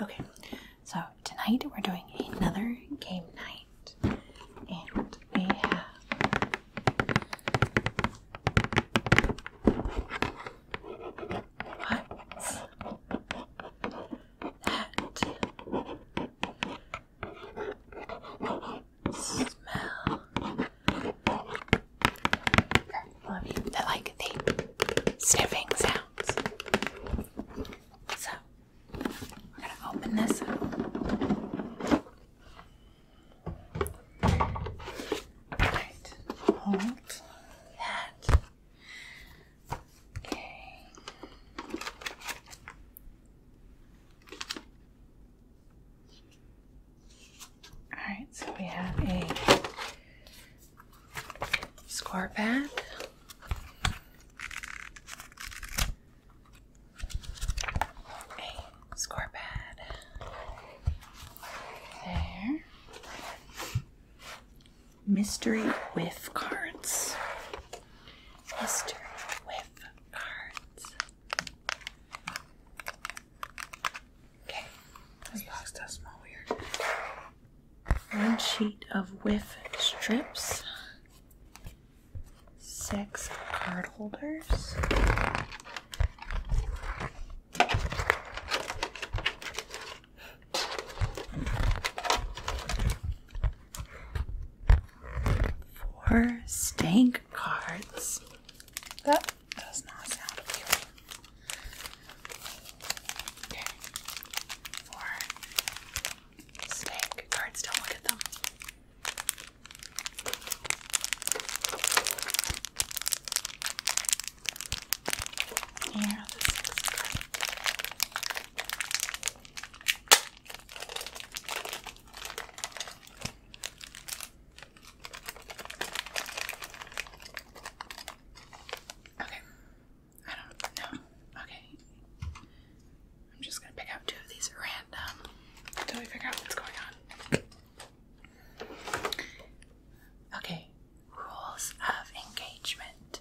Okay, so tonight we're doing another game night, and we have what's that smell? I love you. that like the sniffing sounds. So we're gonna open this Alright, hold that. Okay. Alright, so we have a score pad. score pad. There. Mystery whiff cards. Mystery whiff cards. Okay. This box does smell weird. One sheet of whiff strips. Six card holders. Four stank cards. That does not sound appealing. Okay. Four. Snake cards, don't look at them. Here, Okay, I don't know. Okay. I'm just gonna pick out two of these at random until we figure out what's going on. Okay, rules of engagement.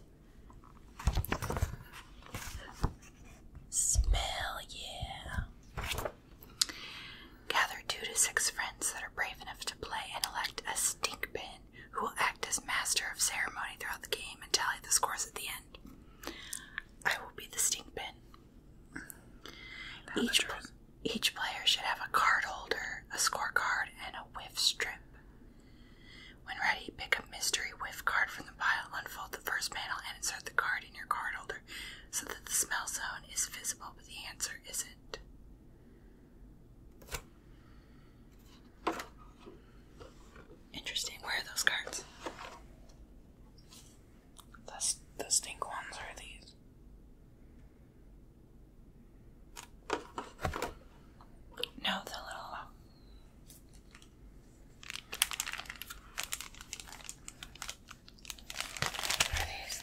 Smell, yeah. Gather two to six friends that are brave enough to play and elect a stink bin who will act as master of ceremony throughout the game and tally the scores at the end. I will be the stink bin. Each, each player should have a card holder, a score card, and a whiff strip. When ready, pick a mystery whiff card from the pile, unfold the first panel, and insert the card in your card holder so that the smell zone is visible but the answer isn't. Interesting. Where are those cards? The, the stink ones are these. No, the little. Uh, are these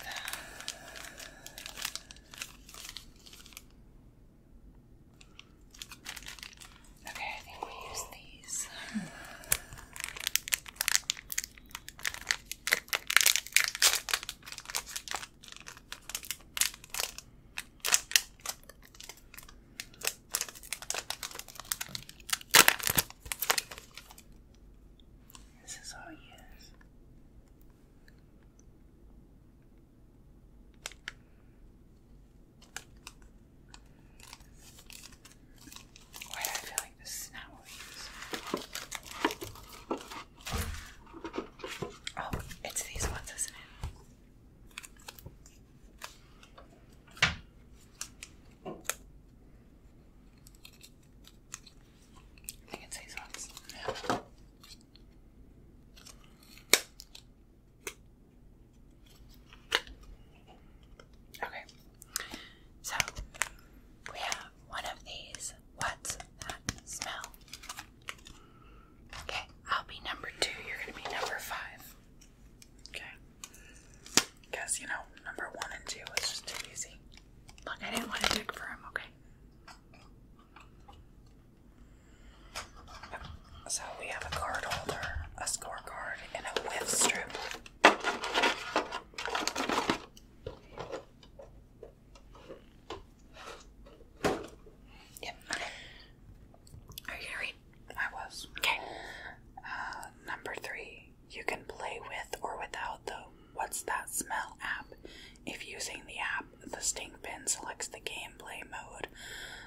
Okay, I think we use these. This is all yes. Why I feel like this is not what we use? Oh, it's these ones, isn't it? I think it's these ones. Okay, so we have one of these. What's that smell? Okay, I'll be number two. You're gonna be number five. Okay, because you know number one and two was just too easy. Look, I didn't want to dig for him. Okay. So we have a card holder, a scorecard, and a whiff strip. Yep. Are you going I was. Okay. Uh, number three. You can play with or without the What's That Smell app. If using the app, the stink bin selects the gameplay mode,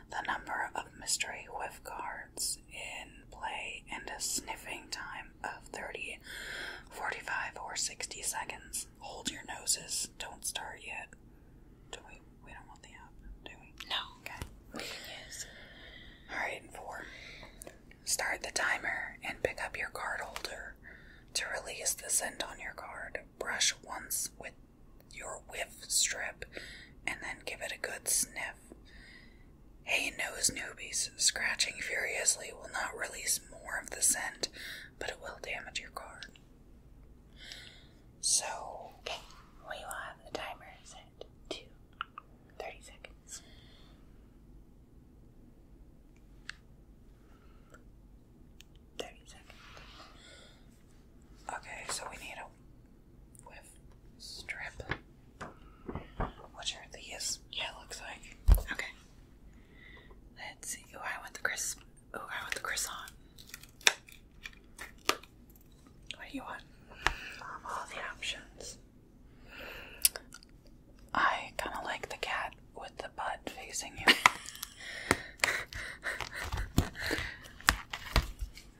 the number of mystery whiff cards in play, and a sniffing time of 30, 45, or 60 seconds. Hold your noses. Don't start yet. Do we? We don't want the app, do we? No. Okay. We can use. Alright, four. Start the timer and pick up your card holder to release the scent on your card brush once with your whiff strip and then give it a good sniff. Hey, nose newbies, scratching furiously will not release more of the scent, but it will damage your card. So, we will have the timer set to 30 seconds. 30 Okay, so we need a whiff strip. Which are these? Yeah, it looks like. Okay. Let's see. Oh, I want the crisp. Oh, I want the croissant. What do you want? Um, all the options. I kind of like the cat the butt facing you.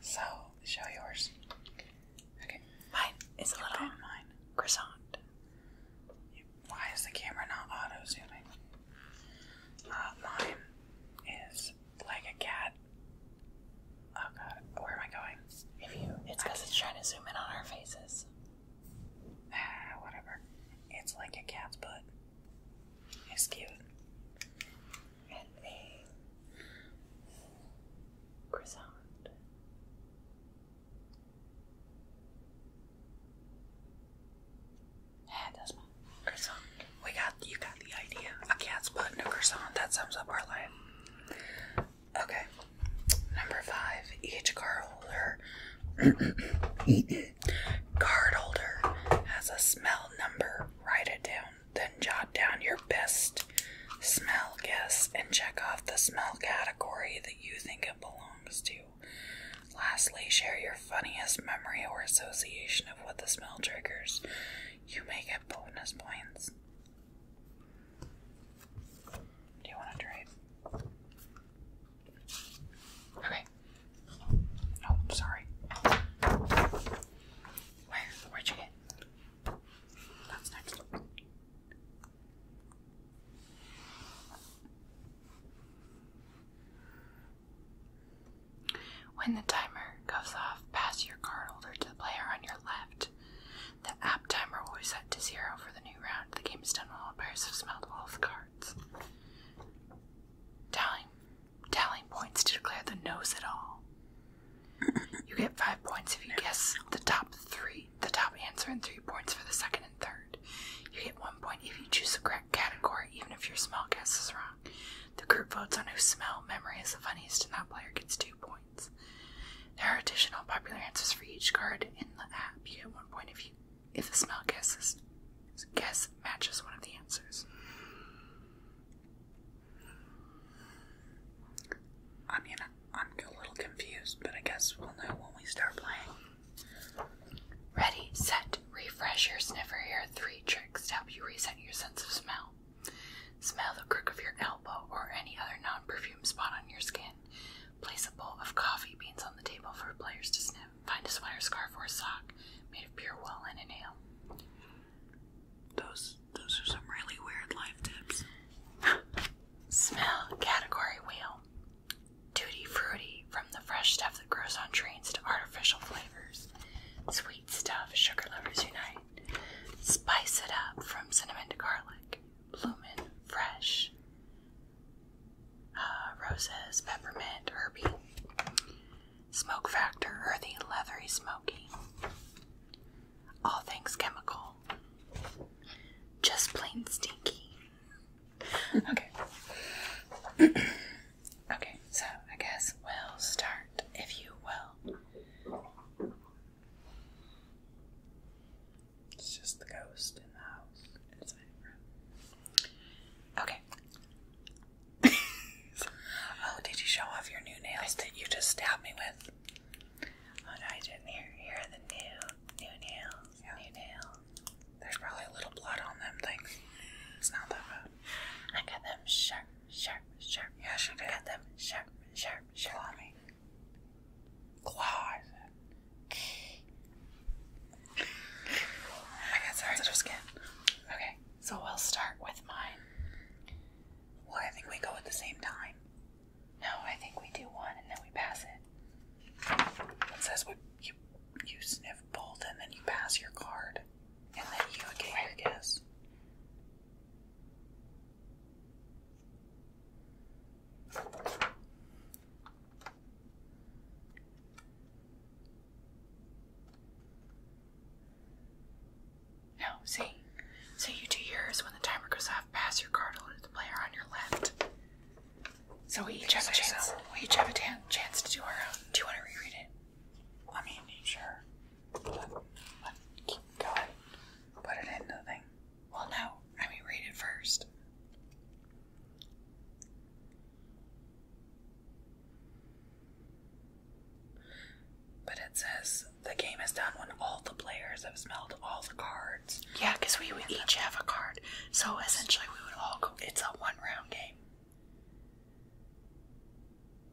so, show yours. Okay. Mine is a little mine. croissant. Why is the camera not auto zooming? Uh, mine is like a cat. Oh god, where am I going? If you, it's because it's trying to zoom in on our faces. Ah, whatever. It's like a cat's butt. It's cute. And a croissant. Yeah, that's my croissant. We got you got the idea. A cat's butt and croissant. That sums up our life. Okay. Number five. Each card holder Card holder has a smell number. Write it down, then jot down your best smell guess and check off the smell category that you think it belongs to. Lastly, share your funniest memory or association of what the smell triggers. You may get bonus points. Do you want to trade? Okay. Oh, sorry. Where? where you get? That's next. When the timer goes off, pass your card holder to the player on your left. The app timer will be set to zero for the new round. The game is done when all players have smelled all of the cards cards. Tallying, points to declare the nose at all. You get five points if you guess the top three, the top answer, and three points for the second and third. You get one point if you choose a correct category, even if your smell guess is wrong. The group votes on who smell memory is the funniest, and that player gets two points. There are additional popular answers for each card in the app. You get one point if you if the smell guesses, guess matches one of the answers. I mean, I'm a little confused, but I guess we'll know when we start playing. Ready, set, refresh your sniffer. Here are three tricks to help you reset your sense of smell. Smell the crook of your elbow or any other non perfume spot on your skin. Place a bowl of coffee beans on the table for players to sniff. Find a sweater, scarf, or a sock made of pure wool and a nail. Those those are some really weird life tips. Smell category wheel. Tutti fruity from the fresh stuff that grows on trains to artificial flavors. Sweet stuff, sugar lovers unite. Spice it up from cinnamon to garlic. Bloomin' fresh. Uh, roses, peppermint, herby. Smoke factor, earthy, leathery, smoky. All things chemical. Just plain stinky. okay. okay, so I guess we'll start, if you will. It's just the ghost in the house. Okay. oh, did you show off your new nails that you just stabbed me with? Oh no, I didn't. Here, here are the new, new nails. New nails. There's probably a little blood on them things. It's not that bad. I got them sharp, sharp, sharp. Yeah, she did. I got them sharp, sharp, sharp. Claw me. Claw, I got sensitive skin. Okay, so we'll start with mine. Well, I think we go at the same time. No, I think we do one and then we pass it. It says what you you sniff both and then you pass your card, and then you get your guess. No, see? So you do yours when the timer goes off, pass your card over the player on your left. So we each have a chance. We each have a chance to do our own. Do you want to reread it? I mean, sure. Let, keep going. Put it into the thing. Well, no. I mean, read it first. But it says the game is done when all the players have smelled all the cards. Yeah, because we each have a card. So essentially, we would all go. It's a one round game.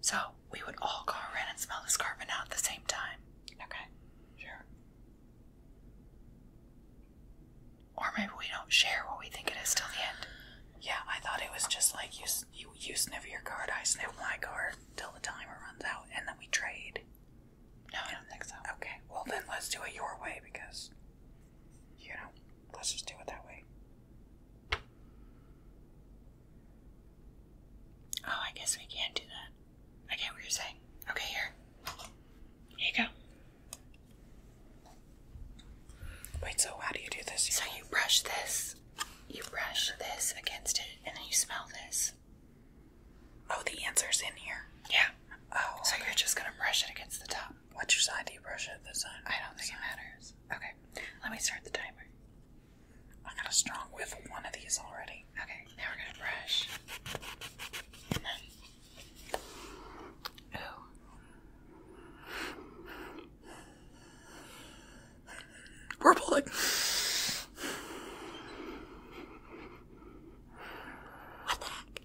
So we would all go around and smell this card, but not at the same time. Okay, sure. Or maybe we don't share what we think it is till the end. Yeah, I thought it was just like you you, you sniff your card, I sniff my card till the timer runs out, and then we trade. No, I don't think so. Okay, well then let's do it your way because, you know, let's just do it that way. Oh, I guess we can not do that. I get what you're saying. Okay, here. Here you go. Wait, so how do you do this? So you brush this, you brush this against it, and then you smell this. Oh, the answer's in here. Yeah. Oh. So you're just gonna brush it against the top. Which side do you brush it? The side. I don't think it matters. Okay. Let me start the timer. I got a strong with one of these already. Okay. Now we're gonna brush, Oh. We're pulling. What the heck?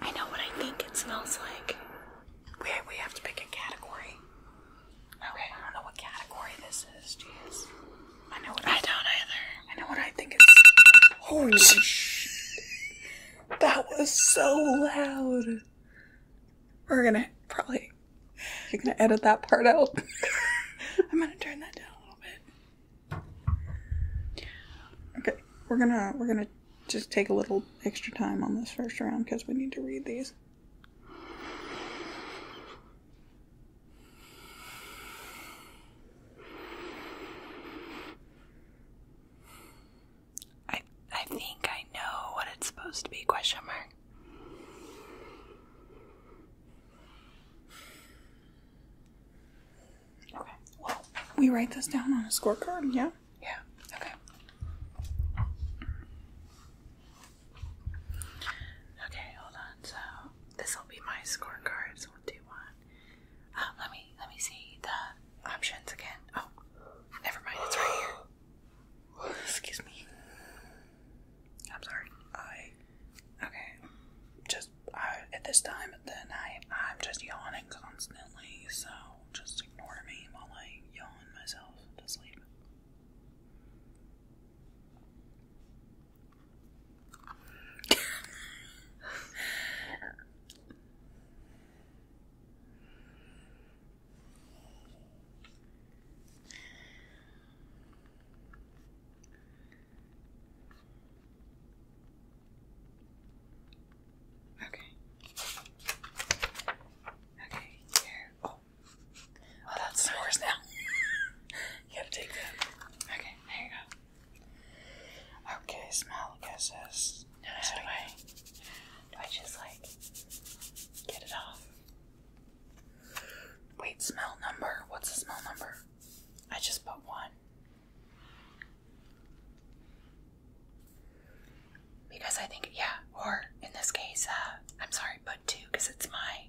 I know what I think it smells like. We we have to pick a category. Okay, I don't know what category this is. Jeez. I know what I, don't either. I know what I think it's. Holy oh, That was so loud. We're gonna probably. we are gonna edit that part out. I'm gonna turn that down a little bit. Okay, we're gonna we're gonna just take a little extra time on this first round because we need to read these. I I think I know what it's supposed to be question mark. Okay. Well, we write this down on a scorecard, yeah? Yeah. Okay. Okay, hold on. So, this will be my scorecard. So, Oh, let me let me see the options again. Oh, never mind. It's right here. Excuse me. I'm sorry. I okay. Just at this time of the night, I'm just yawning constantly. So just ignore me while I yawn myself to sleep. Okay. Okay, here. Oh. Oh, that's yours now. you gotta take that. Okay, there you go. Okay, smell kisses. No, do I? Do I just like get it off? Wait, smell number. What's the smell number? I just put one. Because I think, yeah, or in this case, uh, I'm sorry, put two, because it's my,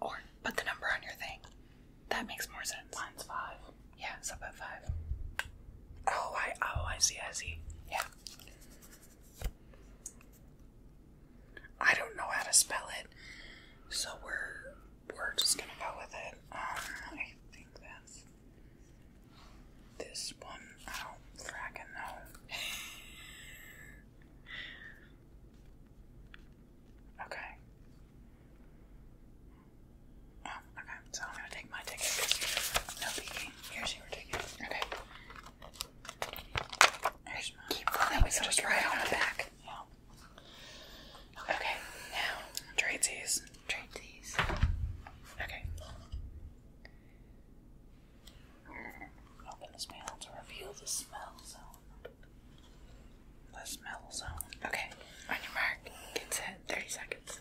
or put the number on your thing. That makes more sense. Mine's five. Yeah, it's five. Oh, I oh I see, I see. Yeah. I don't know how to spell it, so we're we're just gonna go with it. Um, I think that's this one. I don't fracking know. Okay. Oh, okay. So I'm gonna take my ticket no peeking. Here's your ticket. Okay. Here's mine. Keep going. just right on the back. Yeah. Okay. Now trade these. Trade these. Okay. Open the mail to reveal the smell zone. The smell zone. Okay, on your mark, get set. 30 seconds.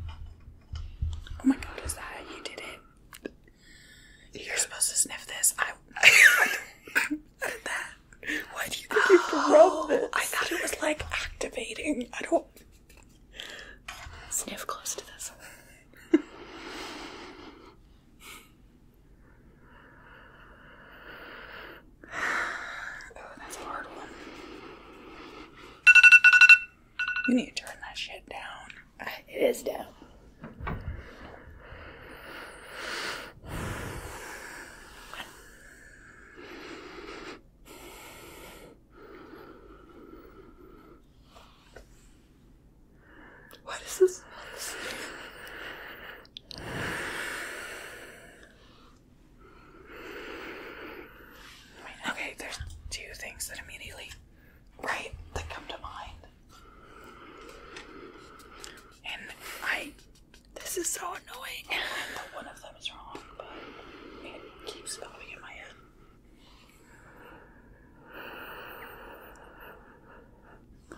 Oh my god, is that you did it? You're supposed to sniff this. I, I did that. do you think you oh, rubbed this? I thought it was like activating. I don't. Sniff close to this. Oh, that's hard one. You need to turn that shit down. Ah, it is down. What is this? Wait, okay, there's two things that immediately, right, that come to mind. And I, this is so annoying. I know one of them is wrong, but it keeps popping in my head.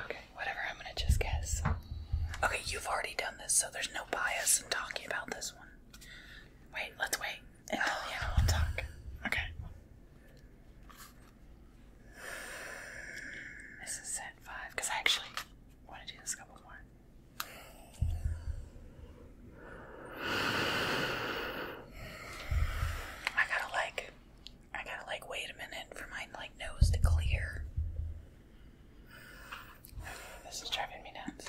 Okay, whatever, I'm gonna just guess. Okay, you've already done this, so there's no bias in talking about this one. Wait, let's wait until the end we'll Okay. This is set five, because I actually want to do this couple more. I gotta like, I gotta like wait a minute for my like nose to clear. This is driving me nuts.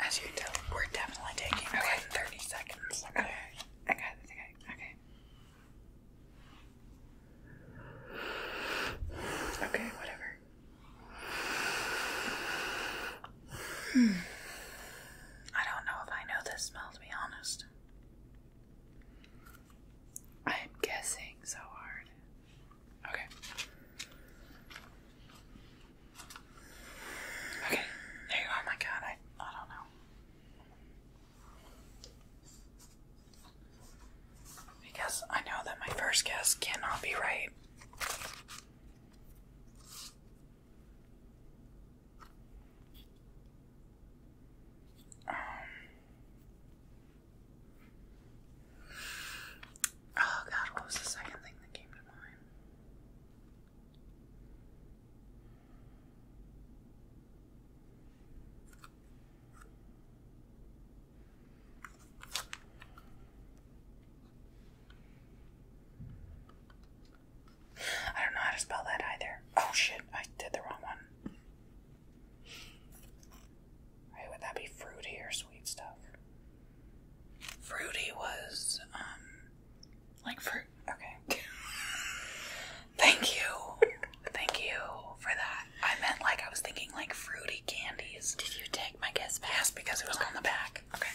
As you can we're definitely taking okay. 30 seconds. Okay. I Okay. Okay. Okay, whatever. I don't know if I know this smell, to be honest. I'm guessing so hard. Okay. Okay, there you are. Oh my God, I, I don't know because I know that my first guess cannot be right. Um. oh god, what was the second thing that came to mind? I don't know how to spell that either. Oh shit, I did the wrong one. would that be fruity sweet stuff? Fruity was, um, like fruit. Okay. Thank you. Thank you for that. I meant like I was thinking like fruity candies. Did you take? my guess bag. because it was on the back. Okay.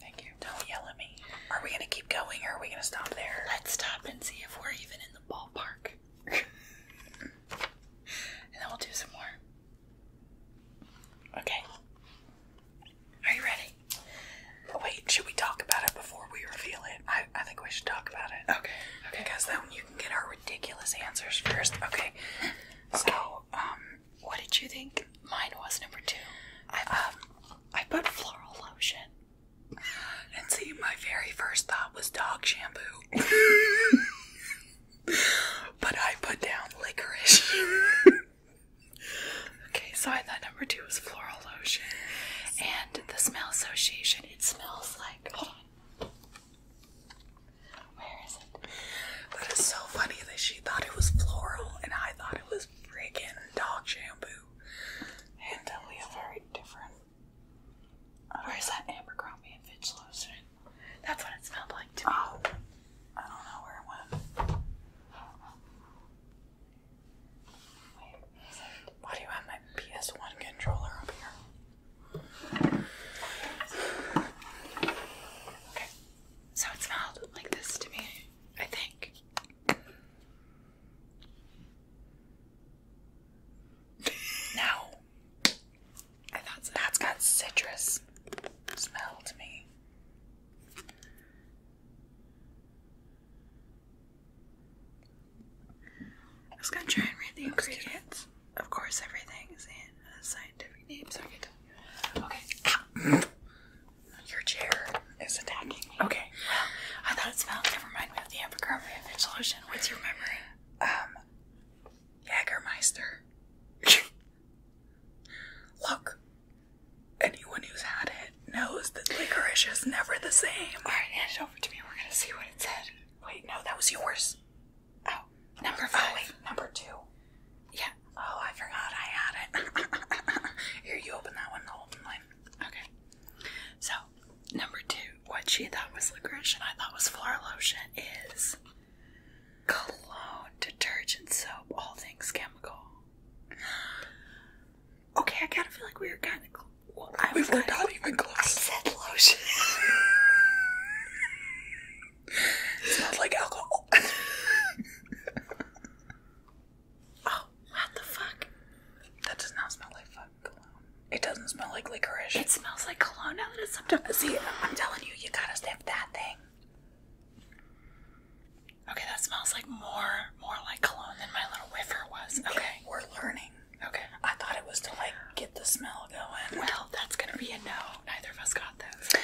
Thank you. Don't yell at me. Are we gonna keep going or are we gonna stop there? Let's stop and see if we're even in the ballpark. and then we'll do some more. Okay. Are you ready? Wait, should we talk about it before we reveal it? I, I think we should talk about it. Okay. Okay. guys. then you can get her ridiculous answers first. Okay. So, um, what did you think mine was number two? Um, I put floral lotion. And see, my very first thought was dog shampoo. but I put down licorice. okay, so I thought number two was floral lotion. And the smell association, it smells like. Where is it? That is so funny that she thought it was floral and I thought it was friggin' dog shampoo. And totally uh, very different. Where is that Abercrombie and Fitch lotion? That's what it smelled like to me. Oh, I don't know where it went. Wait, why do you have my PS1 controller up here? Okay, so it smelled like this to me, I think. no. That's got citrus smell to me. I was gonna try and read the ingredients of course, everything is in scientific names. so I can tell Okay. Your chair is attacking me. Okay. Well, I thought it smelled. Never mind. We have the epicarmia Fitch What's your memory? Um, Jagermeister. Look, anyone who's had it knows that licorice is never the same. All right, hand it over to me. We're gonna see what it said. Wait, no, that was yours. Oh, number oh, five. number two. Yeah. Oh, I forgot I had it. Here, you open that one, the open one. Okay. So, number two, what she thought was licorice I thought was floor lotion is cologne, detergent, soap, all things chemical. Okay, I kind of feel like we are kind of. Well, I said lotion. it smells like alcohol. oh, what the fuck? That does not smell like cologne. It doesn't smell like licorice. It smells like cologne now that it's up to. See, I'm telling you, you gotta sniff that thing. Okay, that smells like more, more like cologne than my little whiffer was. Okay, we're learning. Okay. I thought it was to like get the smell going. Well, that's gonna be a no. Neither of us got this.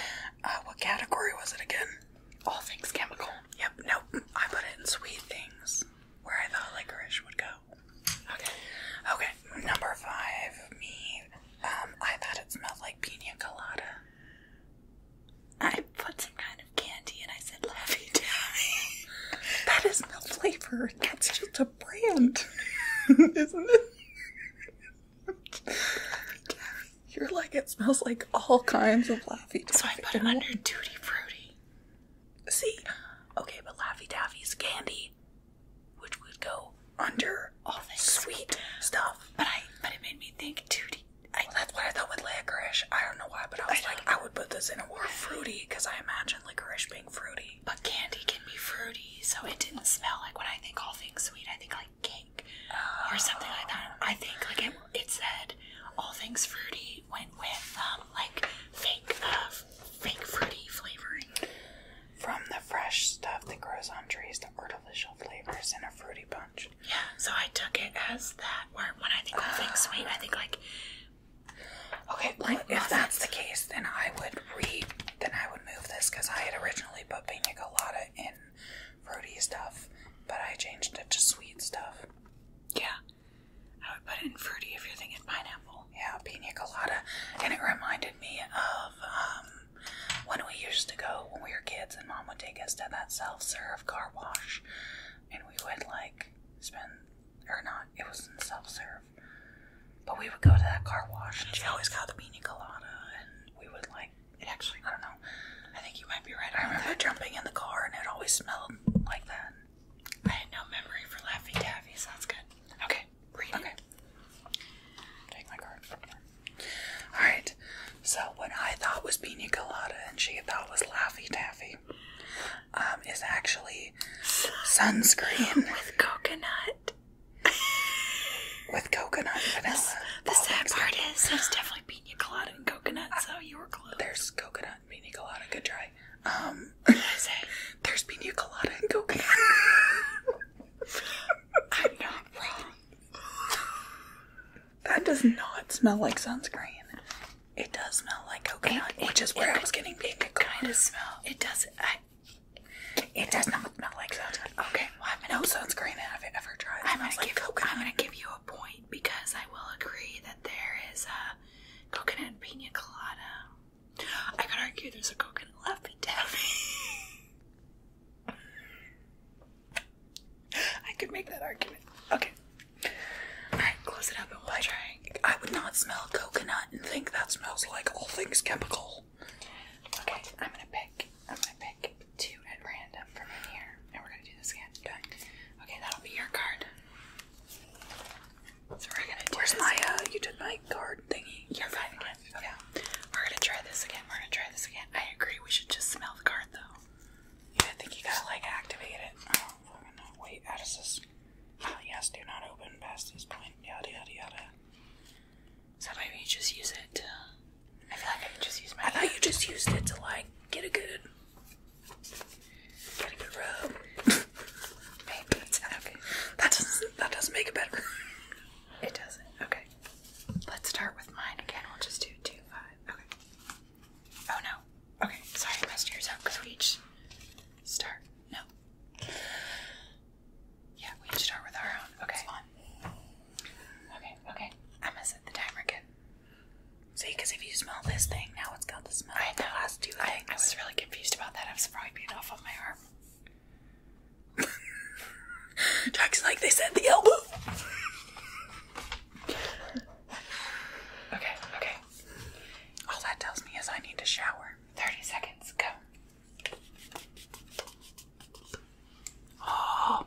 Uh, what category was it again? All things chemical. Yep. Nope. I put it in sweet things, where I thought licorice would go. Okay. Okay. Number five. Me. Um. I thought it smelled like pina colada. I put some kind of candy and I said, Laffy Taffy. that is isn't a flavor. That's just a brand, isn't it? You're like, it smells like all kinds of Laffy Taffy. So I put it under Duty Fruity. See? Okay, but Laffy Taffy is candy, which would go under all this sweet, stuff. But I, but it made me think Duty. I, well, what I thought with licorice. I don't know why, but I was like, I would put this in a word fruity because I imagine licorice being fruity but candy can be fruity, so it didn't smell like when I think all things sweet, I think like cake or something like that. I think like it, it said all things fruity went with um, like fake uh, fake fruity flavoring. From the fresh stuff that grows on trees to artificial flavors in a fruity punch. Yeah, so I took it as that. Where when I think all things sweet, I think like Okay, like, if that's the case, then I would re then I would move this because I had originally put pina colada in fruity stuff, but I changed it to sweet stuff. Yeah, I would put it in fruity if you're thinking pineapple. Yeah, pina colada, and it reminded me of um, when we used to go when we were kids, and mom would take us to that self serve car wash, and we would like spend or not, it was in self serve. But we would go to that car wash, and she always got the beanie colada, and we would like it. Actually, I don't know. I think you might be right. I remember jumping in the car, and it always smelled like that. I had no memory for Laffy Taffy, Sounds good. Okay, okay. Take my card. All right. So what I thought was beanie colada, and she thought was Laffy Taffy, um, is actually sunscreen with coconut with coconut vanilla. The, sad part is there's definitely pina colada and coconut, so you were close. There's coconut and pina colada. Good try. Um, I say? There's pina colada and coconut. I'm not wrong. That does not smell like sunscreen. It does smell like coconut, which is where I was getting pina colada. Kind of smell. It does. I, it does not smell like sunscreen. Okay, well, I'm going no sunscreen I've ever tried. I'm gonna give I'm gonna give you a point because I will agree that there is a coconut pina colada. I could argue there's a coconut laffy taffy. I could make that argument. Okay. All right, close it up and we try. I would not smell coconut and think that smells like all things chemical. Okay, I'm gonna pick. I'm gonna pick two at random from in here, and we're gonna do this again. Okay, that'll be your card. So we're gonna. Where's this my? Uh, you did my card thingy. You're fine again. Okay. We're gonna try this again. We're gonna try this again. I agree. We should just smell the card though. Yeah, I think you gotta like activate it. Oh, I Wait, how does this? Uh, yes, do not open past this point. Yada yada yada. So maybe you just use it. To, I feel like I could just use my. I thought you just used it to like get a good, get a good rub. maybe it's okay. That doesn't that doesn't make it better. It doesn't. Okay. Let's start with mine again. We'll just do two five. Okay. Oh no. Okay. Sorry, I messed yours up because we each start. No. Yeah, we can start with our own. Okay. Okay, okay. I'm gonna set the timer again. See, because if you smell this thing, now it's got the smell I of the know. I, was really confused about that. I was probably being off of my arm. Jack's like, they said the elbow. okay, okay. All that tells me is I need to shower. 30 seconds, go. Oh, oh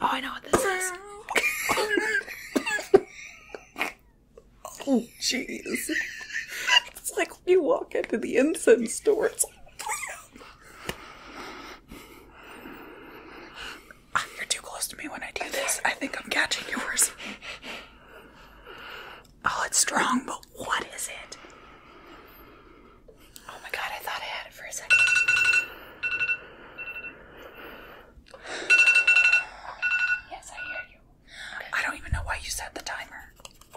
I know what this is. oh, jeez. It's like when you walk into the incense store. It's like, oh, you're too close to me when I do this. I think I'm catching yours. Oh, it's strong, but what is it? Oh my god, I thought I had it for a second. Yes, I hear you. I don't even know why you set the timer.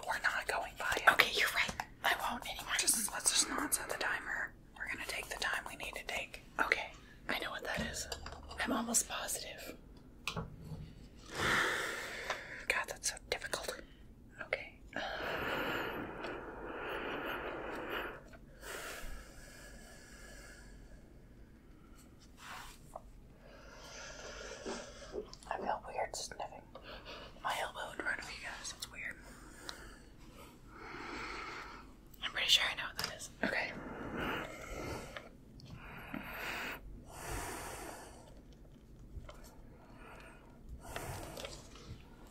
We're not going by it. Okay, you're right. I won't anymore. Just let's just not set the timer. We're gonna take the time we need to take. Okay. I know what that is. I'm almost positive. God, that's so difficult. Okay. I feel weird sniffing my elbow in front of you guys. It's weird. I'm pretty sure I know what that is. Okay.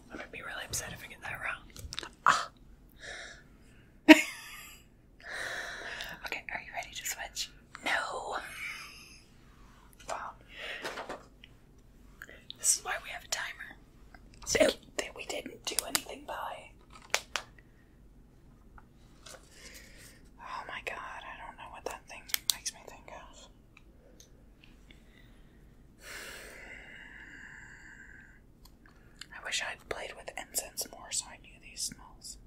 I'm gonna be really upset if I get that wrong. Ah. okay, are you ready to switch? No. Wow. This is why we have a timer. So we didn't do anything by. Oh my god, I don't know what that thing makes me think of. I wish I had played with incense more so I knew these smells.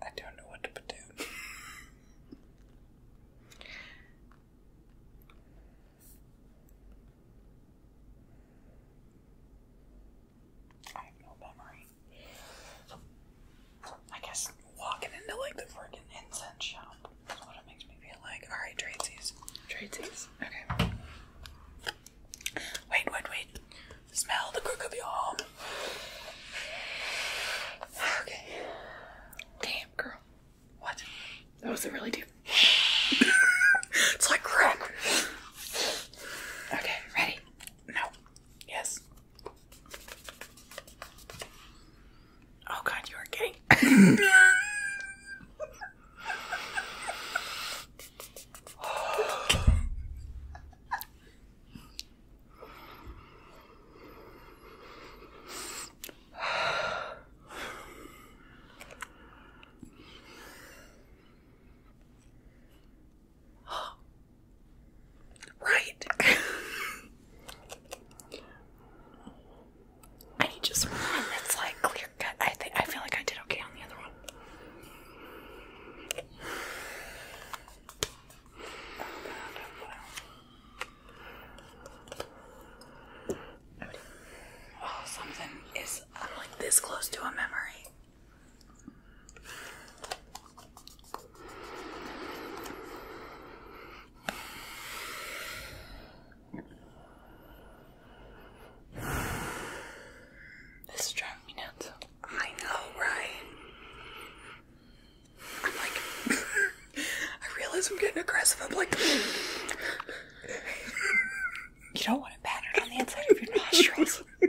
I don't know what to put down. I have no memory. I guess walking into like the freaking incense shop is what it makes me feel like. Alright, Tracy's. Tracy's. Okay. Wait, wait, wait. Smell the crook of your arm. Okay. Damn, girl. What? That was a really deep. it's like crack. Okay, ready? No. Yes. Oh god, you are gay right. I just one like clear cut. I think I feel like I did okay on the other one. Oh, something is I'm like this close to a memory. This is driving me nuts. I know, right? I'm like, I realize I'm getting aggressive. I'm like, you don't want it battered on the inside of your nostrils.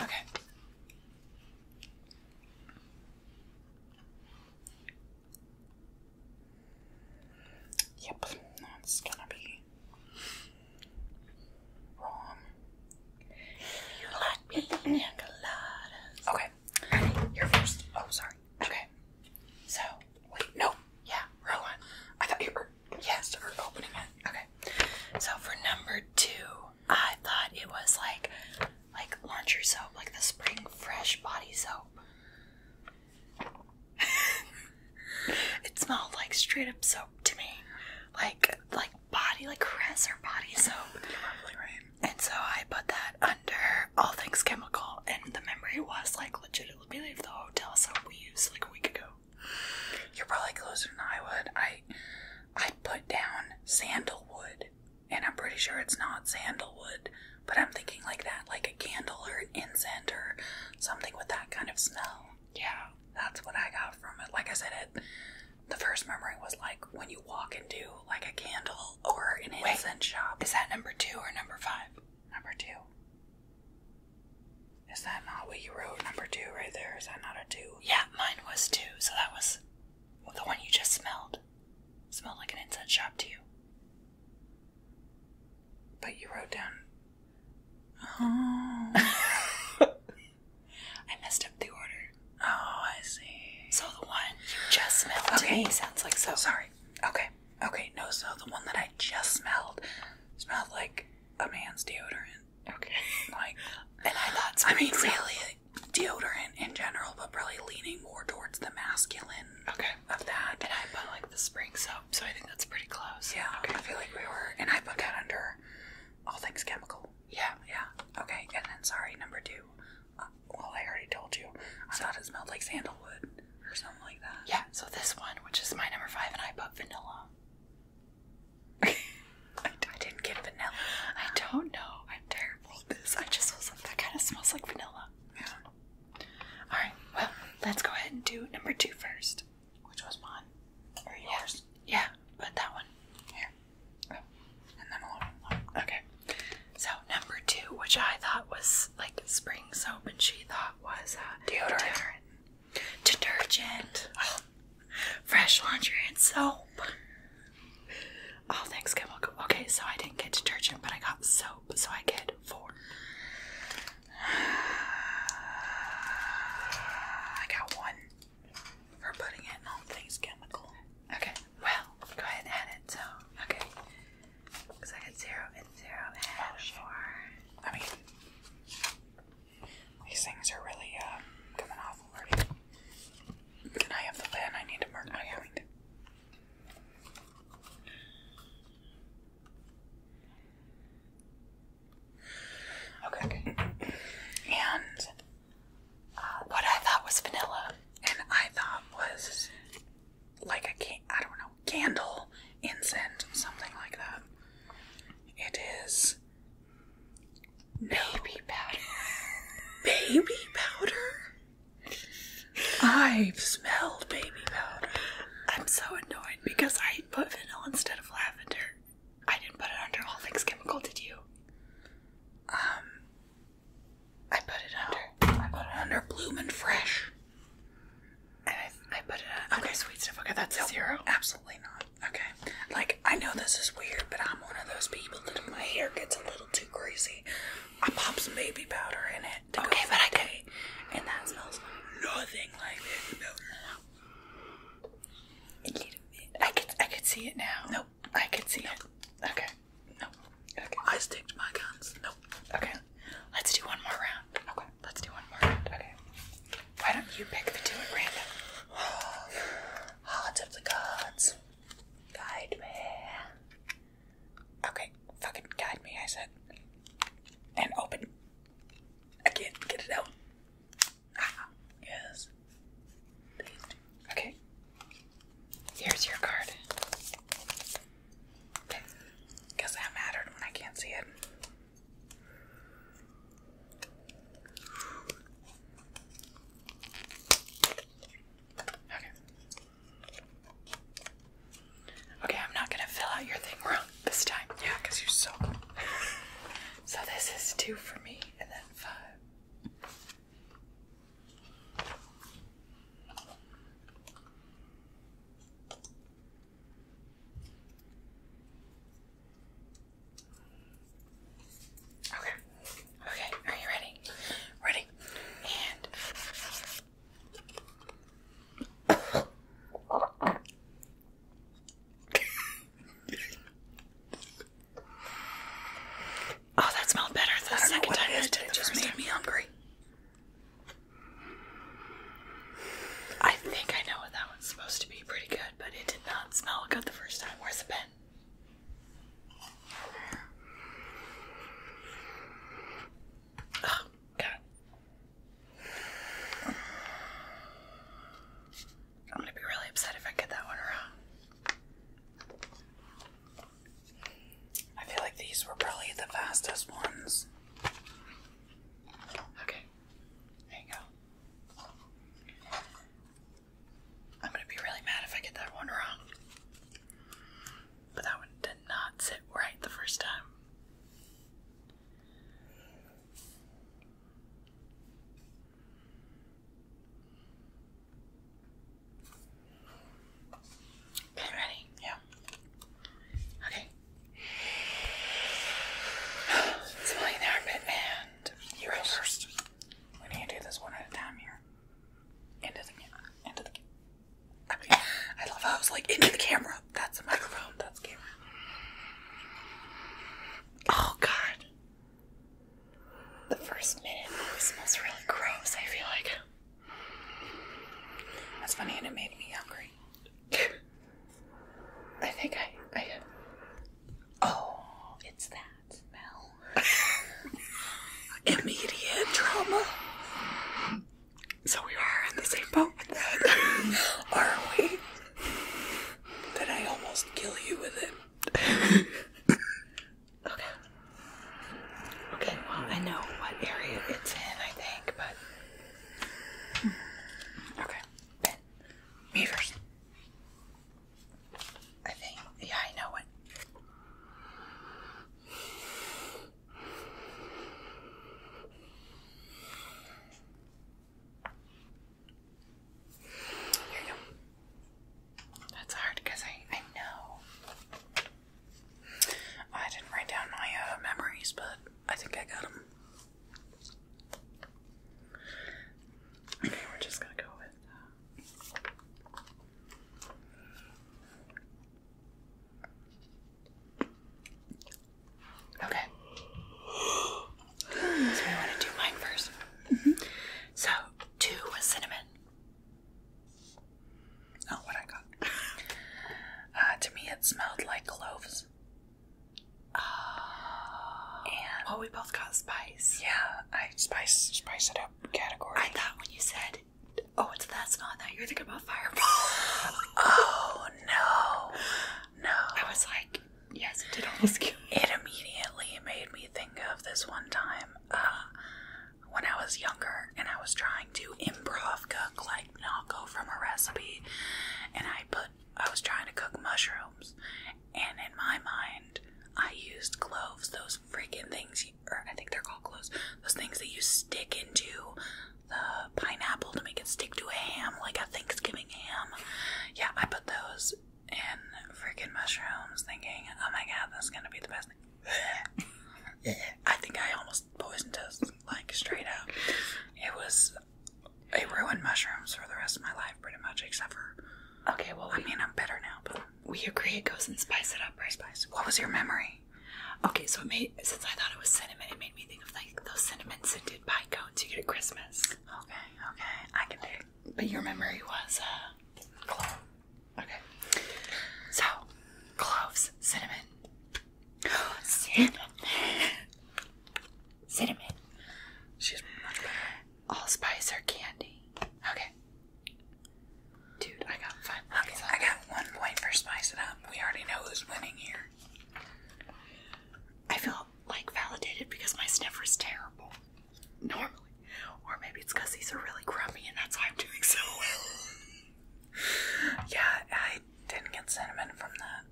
Okay. Yep, that's gonna be wrong. Okay. You're first. Oh, sorry. Okay. So, wait, no. Yeah, wrong I thought you were. Yes, we're opening it. Okay. So for number two, I thought it was like like laundry soap, like the spring fresh body soap. it smelled like straight up soap to me. Like like body like caress or body soap. And so I put that under all things chemical and the memory was like legit. legitimately the hotel soap we used like a week ago. You're probably closer than I would. I I put down sandalwood, and I'm pretty sure it's not sandalwood, but I'm thinking like that, like a candle or incense or something with that kind of smell. Yeah, that's what I got from it. Like I said, it the first memory was like when you walk into like a candle or incense shop. Is that number two or number five? Number two. Is that not what you wrote? Number two, right there. Is that not a two? Yeah, mine was two. So that was the one you just smelled. smelled like an incense shop to you. But you wrote down. Oh. I messed up the order. Oh, I see. So the one you just smelled. Okay, sounds like so. Sorry. Okay. Okay. No, so the one that I just smelled smelled like a man's deodorant. Okay. Like, and I thought, I mean, really, deodorant in general, but probably leaning more towards the masculine okay. of that. And I put like the spring soap, so I think that's pretty close. Yeah, okay. I feel like we were, and I put that under all things chemical. Yeah, yeah. Okay, and then sorry, number two. Uh, well, I already told you. I so, thought it smelled like sandalwood or something like that. Yeah, so this one, which is my number five, and I put vanilla. I, didn't get vanilla. I don't know. I'm terrible at this. I just was like, that kind of smells like vanilla. Yeah. Alright, well, let's go ahead and do number two first. Which was mine? Or Yeah, but that one. Here. Oh. And then a Okay. So, number two, which I thought was like spring soap, and she thought was uh, deodorant detergent, fresh laundry, and soap. All things chemical. Okay, so I didn't get detergent, but I got soap, so I get four. I got one for putting it all things chemical. Okay, well, go ahead and add it. So, okay. Because I get zero and zero and oh, four. I these things are really um, coming off already. I have the pen? I need to mark my point. Okay. okay. And uh, what I thought was vanilla, and I thought was like a don't know candle, incense, something like that. It is Baby powder. Baby powder? I've smelled baby powder. I'm so annoyed because I put vanilla instead of lavender. I didn't put it under All Things Chemical, did you? Um, I put it under. No. I put it under Bloomin' Fresh. And I, I put it under. Okay, sweet stuff. Okay, that's zero. Absolutely not. Okay. Like, I know this is weird, but I'm one of those people that if my hair gets a little too greasy, I pop some baby powder in it. To okay, go but I can. And that smells nothing like baby powder. A little bit. I could, I could see it now. Nope. I could see nope. it. Okay. Nope. Okay. I sticked my guns. Nope. Okay. Let's do one more round. Okay. Let's do one more round. Okay. Why don't you pick the two at random? Heart of the gods. Guide me. Okay, fucking guide me, I said. And open. I get it out. Ah, yes. Okay. Here's your card. Guess that mattered when I can't see it. Okay. Okay, I'm not gonna fill out your thing wrong this time. Yeah, because you suck. so this is two for me and then five. Okay. Okay. Are you ready? Ready. And Oh, that smelled better the second time it, it just made me hungry. I think I know what that one's supposed to be pretty good, but it did not smell good the first time. Where's the pen? Oh, I'm gonna be really upset if I get that one wrong. I feel like these were probably the fastest ones. Okay. There you go. I'm gonna be really mad if I get that one wrong. But that one did not sit right the first time. Okay, ready? Yeah. Okay. Smelling the armpit and you go first. We need to do this one at a time here. Into the camera. Into the camera. I, love how I was like into the camera. That's the microphone. That's camera. Oh god. The first minute always smells really gross, I feel like. That's funny and it made me hungry. I think I. I oh, it's that Immediate trauma. So we are in the same boat with that. are we? That I almost kill you with it. okay. Okay, well, I know what area it's in, I think, but. Hmm. Okay. Me I think. Yeah, I know it. Here you go. That's hard because I, I know. I didn't write down my uh, memories, but I think I got them. Okay, we're just gonna go with uh, Okay. so we want to do mine 1st mm-hmm. So two cinnamon. Oh, what I got. Uh, to me, it smelled like cloves. Oh, well, we both got spice. Yeah, I spice spice it up category. I thought when you said, "Oh, it's that's not that," you are thinking about Fireball. oh no, no! I was like, yes, it did almost kill. It immediately made me think of this one time uh, when I was younger and I was trying to improv cook like Nako from a recipe, and I put I was trying to cook mushrooms, and in my mind, I used cloves, those freaking things, or I think they're called cloves, those things that you stick into the pineapple to make it stick to a ham, like a Thanksgiving ham. Yeah, I put those in freaking mushrooms, thinking, oh my god, that's gonna be the best thing. I think I almost poisoned us, like straight up. It was I ruined mushrooms for the rest of my life, pretty much, except for. Okay, well, I mean, I'm better now, but we agree it goes and spice it up, right? Spice. What was your memory? Okay, so it made since I thought it was cinnamon, it made me think of like those cinnamon scented pie cones you get at Christmas. Okay, okay, I can dig. But your memory was uh, clove. Okay, so cloves, cinnamon, cinnamon. Cinnamon. She's much better. Allspice or candy. Okay. Dude, I got five points. Okay, I got one point for spice it up. We already know who's winning here. I feel like validated because my sniffer is terrible. Normally. Or maybe it's because these are really crummy and that's why I'm doing so well. yeah, I didn't get cinnamon from that.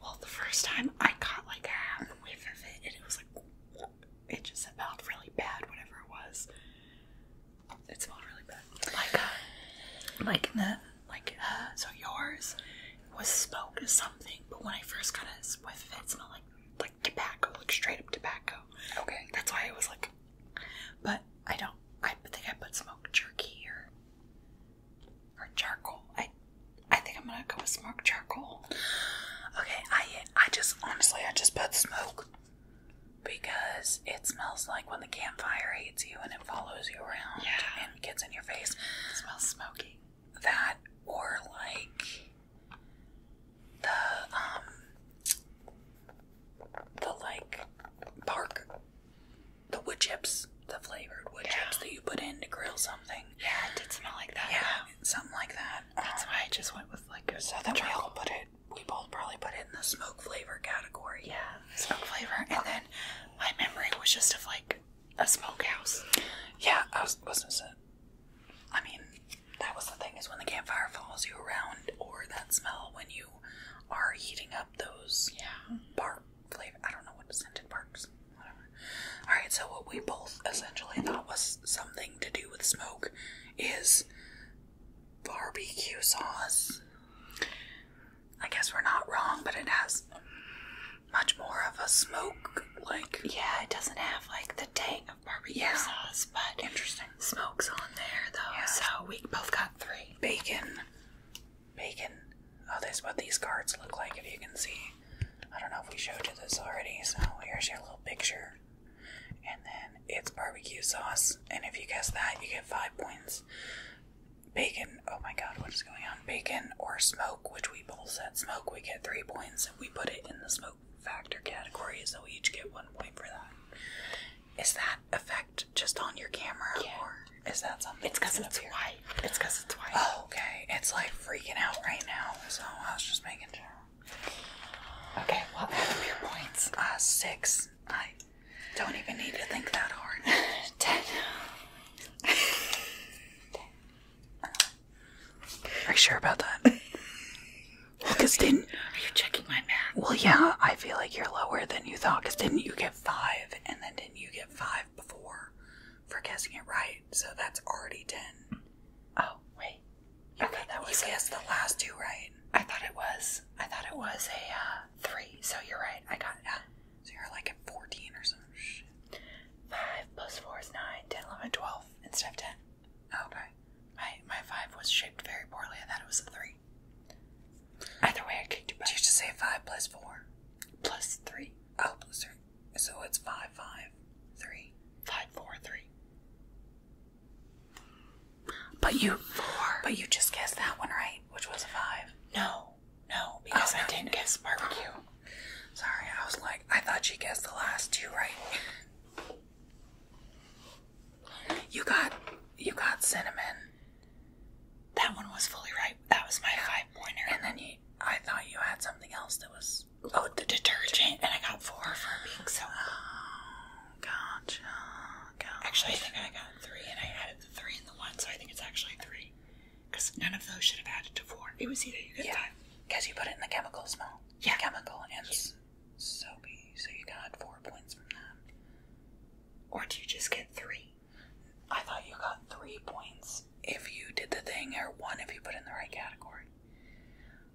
Well, the first time I caught like a whiff of it, and it was like it just smelled really bad. Whatever it was, it smelled really bad. Like, uh, like that, like uh, so yours was smoke or something, but when I first got a whiff of it, it smelled like like tobacco, like straight up tobacco. Okay, that's why it was like. But I don't. I think I put smoke jerky here or charcoal. I I think I'm gonna go with smoke charcoal. Okay, I I just honestly I just put smoke because it smells like when the campfire hates you and it follows you around yeah. and gets in your face. smells smoky. That or like the um the like park the wood chips, the flavored wood chips that you put in to grill something. Yeah, it did smell like that. Yeah, something like that. That's why I just went with like a so that charcoal. we all put it. We both probably put it in the smoke flavor category. Yeah, smoke flavor, and oh. then my memory was just of like a smokehouse. Yeah, I was wasn't I mean, that was the thing is when the campfire follows you around, or that smell when you are heating up those yeah. bark flavor. I don't know what scented parks. Whatever. All right. So what we both essentially thought was something to do with smoke is barbecue sauce. I guess we're not wrong, but it has much more of a smoke like. Yeah, it doesn't have like the tang of barbecue sauce, but interesting. Smoke's on there though, so we both got three. Bacon, Bacon. Oh, that's what these cards look like, if you can see. I don't know if we showed you this already, so here's your little picture. And then it's barbecue sauce, and if you guess that, you get five points. Bacon, oh my god, what is going on? Bacon or smoke, which we both said smoke, we get three points. If we put it in the smoke factor category, so we each get one point for that. Is that effect just on your camera? Yeah. Is that something? It's because it's white. It's because it's white. Oh, okay. It's like freaking out right now, so I was just making sure. Okay, well, out of your points, uh, six. I don't even need to think that hard. Ten. Ten. Are you sure about that? Because didn't are you checking my math? Well, yeah, I feel like you're lower than you thought. Because didn't you get five, and then didn't you get five, before for guessing it right, so that's already ten. Oh wait, you okay, that was you guessed the last two right. I thought it was. I thought it was a uh, three. So you're right. I got it. So you're like at fourteen or some shit. Five plus four is nine. Ten, nine, ten, eleven, twelve instead of ten. Okay. My my five was shaped very poorly. I thought it was a three. Either way, I kicked you back. Did you should say five plus four? Plus three, oh, plus three. So it's five, five, three, five, four, three. But you, four. but you just guessed that one right, which was a five. No, no, because oh, I didn't guess barbecue. Sorry, I was like, I thought she guessed the last two right. You got, you got cinnamon. That one was fully ripe. That was my high pointer. And then you, I thought you had something else that was. Oh, the detergent, and I got four for being so. Oh, gotcha, gotcha. Actually, I think I got three, and I added the three and the one, so I think it's actually three. Because none of those should have added to four. It was either you got yeah, because you put it in the chemical smell. Yeah, chemical and soapy. So you got four points from that. Or do you just get three? I thought you got three points if you did the thing, or one if you put in the right category.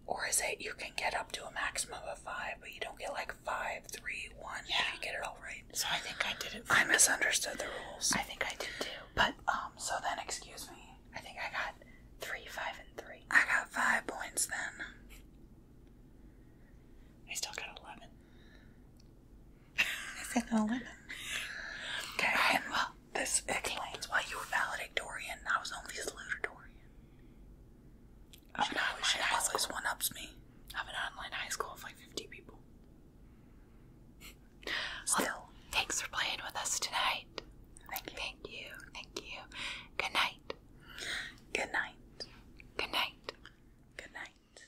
Or is it you can get up to a maximum of five, but you don't get like five, three, one yeah. if you get it all right? So I think I did it. I misunderstood the rules. I think I did too. But um, so then excuse me. I think I got three, five, and three. I got five points then. I still got eleven. Is it an 11? Okay, and well, this explains why you were valedictorian. I was only salutatorian. Oh, I have an online should high always school. one ups me. I have an online high school of like 50 people. Still. thanks for playing with us tonight. Thank you. Thank you. Thank you. Good night. Good night. Good night. Good night.